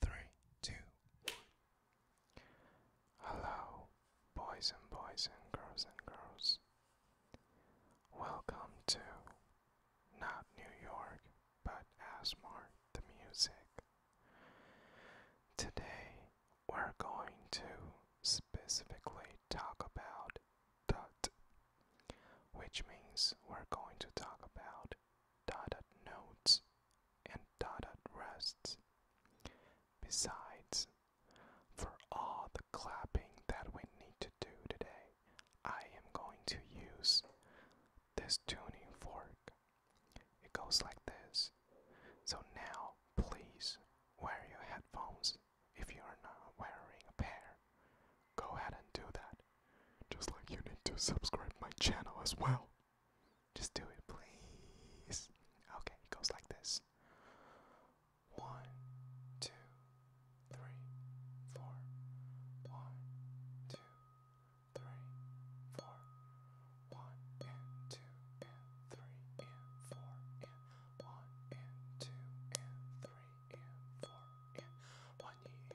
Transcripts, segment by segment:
Three, two, one. Hello, boys and boys and girls and girls. Welcome to not New York, but Asmar the music. Today we're going to specifically talk about thought, which means we're going to talk about dotted notes, and dotted rests. Besides, for all the clapping that we need to do today, I am going to use this tuning fork. It goes like this. So now, please wear your headphones if you are not wearing a pair. Go ahead and do that. Just like you need to subscribe my channel as well. Just do it, please. Okay, it goes like this. One, two, three, four. One, two, three, four. One and two and three and four and one and two and three and four and one knee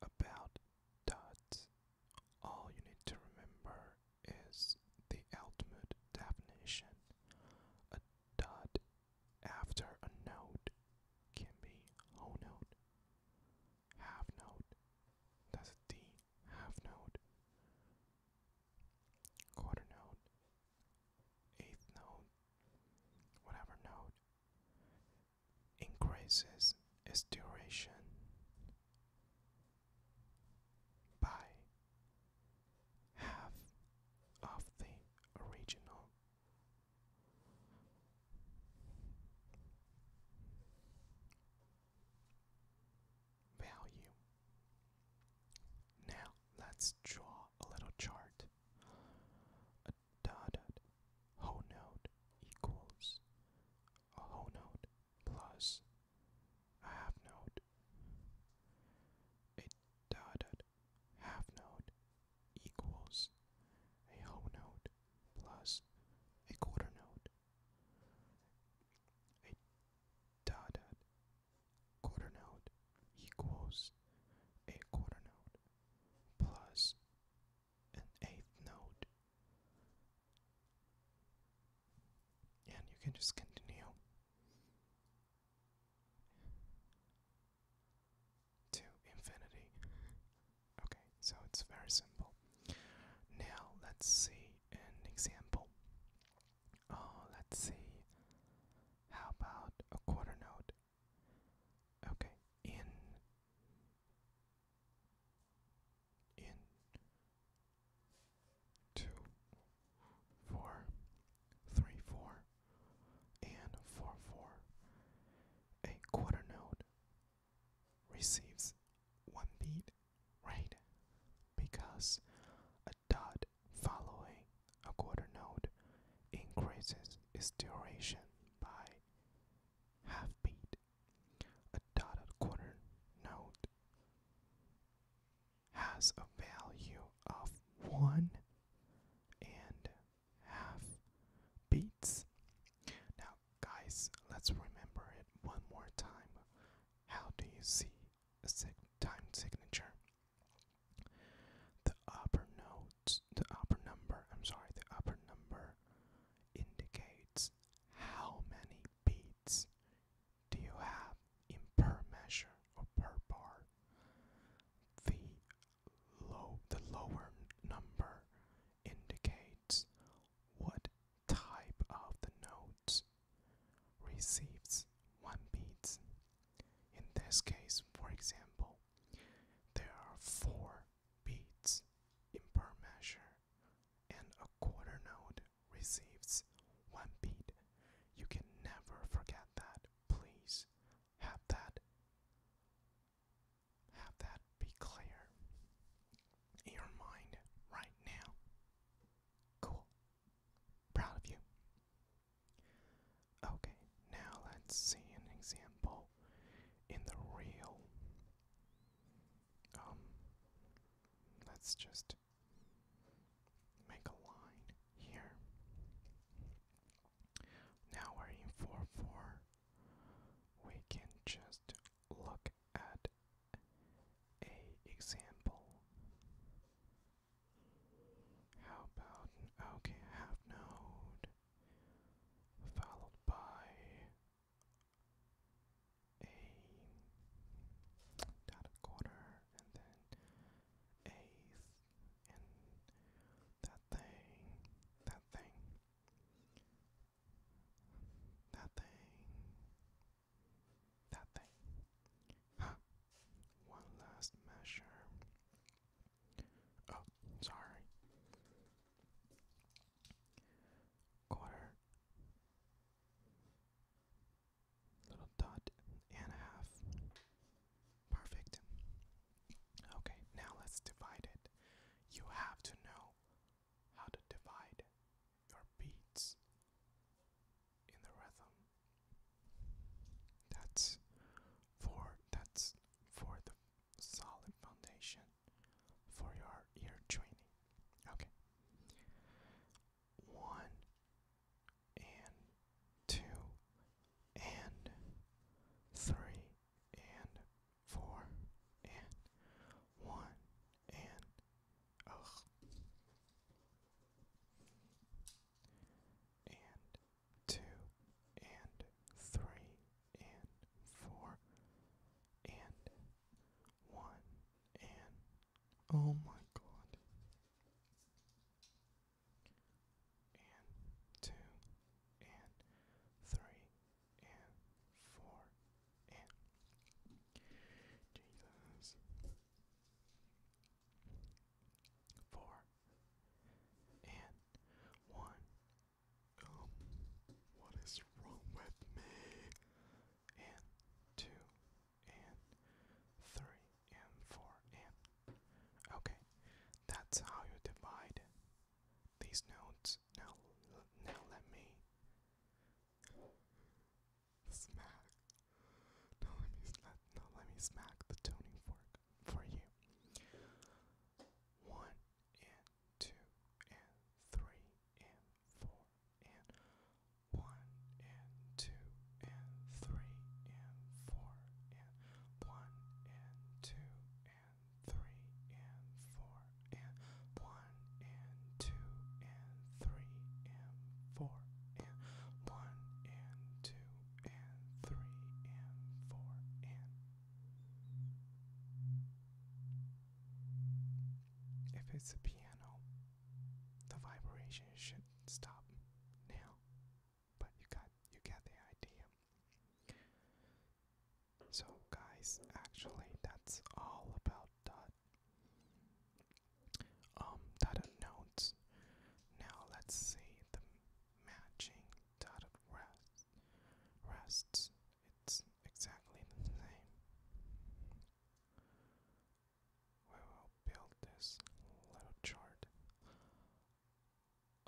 about dots, all you need to remember is the ultimate definition. A dot after a note can be whole note, half note, that's a D, half note, quarter note, eighth note, whatever note, increases its duration by half of the original. Value. Now let's draw a little chart. A dotted whole note equals a whole note plus a half note. A dotted half note equals a whole note plus a quarter note. A dotted quarter note equals a quarter note plus an eighth note. And you can just continue to infinity. Okay, so it's very simple. Now let's see an example. Oh, let's see. How about a quarter note Okay, in in two four three four and four four a quarter note receives one beat right because a dot following a quarter note increases its duration by half beat. A dotted quarter note has a value of one and half beats. Now, guys, let's remember it one more time. How do you see a time signature? The upper notes, the upper number, I'm sorry, the upper number indicates how many beats do you have in per measure or per bar. The low the lower number indicates what type of the notes receives one beat in this case, for example, there are four beats in per measure, and a quarter note receives one beat. You can never forget that. Please have that have that be clear in your mind right now. Cool. Proud of you. Okay, now let's see an example in the real. Um, let's just make a line here. Now we're in 4 4. We can just look at a example how about okay half note followed by a dotted quarter and then eighth and that thing, that thing, that thing, that thing. One last measure. Oh, sorry. Quarter, little dot, and a half. Perfect. Okay, now let's divide it. You have to know how to divide your beats in the rhythm. That's for that's for the solid foundation for your ear training. Okay. One and two and three and four and one and ugh. And two, and three, and four, and one, and oh my god, and two, and three, and four, and Jesus four, and one. Um, what is wrong with me? And two, and three, and four, and. Okay, that's how you divide these notes. Now, now let me smack now let me smack the tuning fork for you. one and two and three and four and one and two and three and four and one and two and three and four and one and two and three and four and if it's a piano, the vibration should stop now. But you got you get the idea. So guys, actually that's all about that um, dotted nodes. Now let's see the matching dot of rest. Rests. It's exactly the same. We will build this little chart.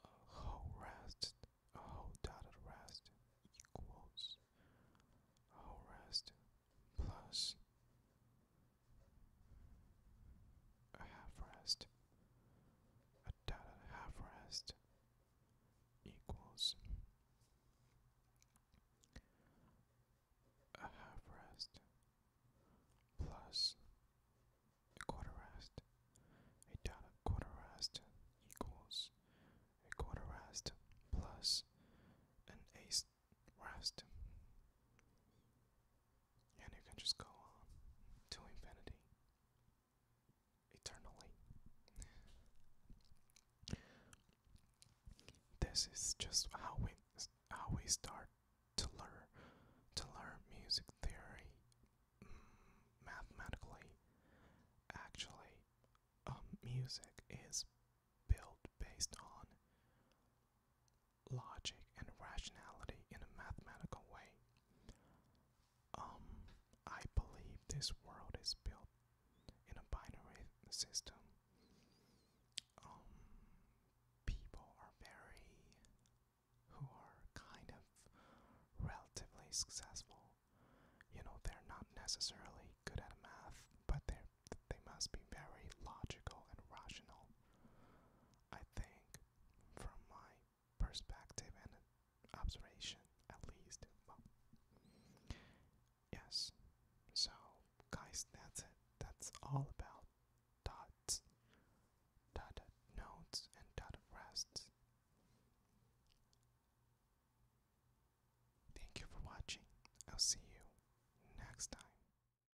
A whole rest, a whole dotted rest equals a whole rest plus a half rest, a dotted half rest equals a half rest plus a quarter rest, a dotted quarter rest equals a quarter rest plus an eighth rest. And you can just go on to infinity. Eternally. This is just how we how we start to learn to learn music theory mm, mathematically. Actually, um, music is built based on logic and rationality in a mathematical way. Um, I believe this world is built in a binary system. Um, people are very, who are kind of relatively successful. You know, they're not necessarily good at math, but they they must be very logical and rational. I think, from my perspective and observation, at least. yes. So, guys, that's it. That's all about dots, dotted nodes, and dotted rests. Thank you for watching. I'll see you next time.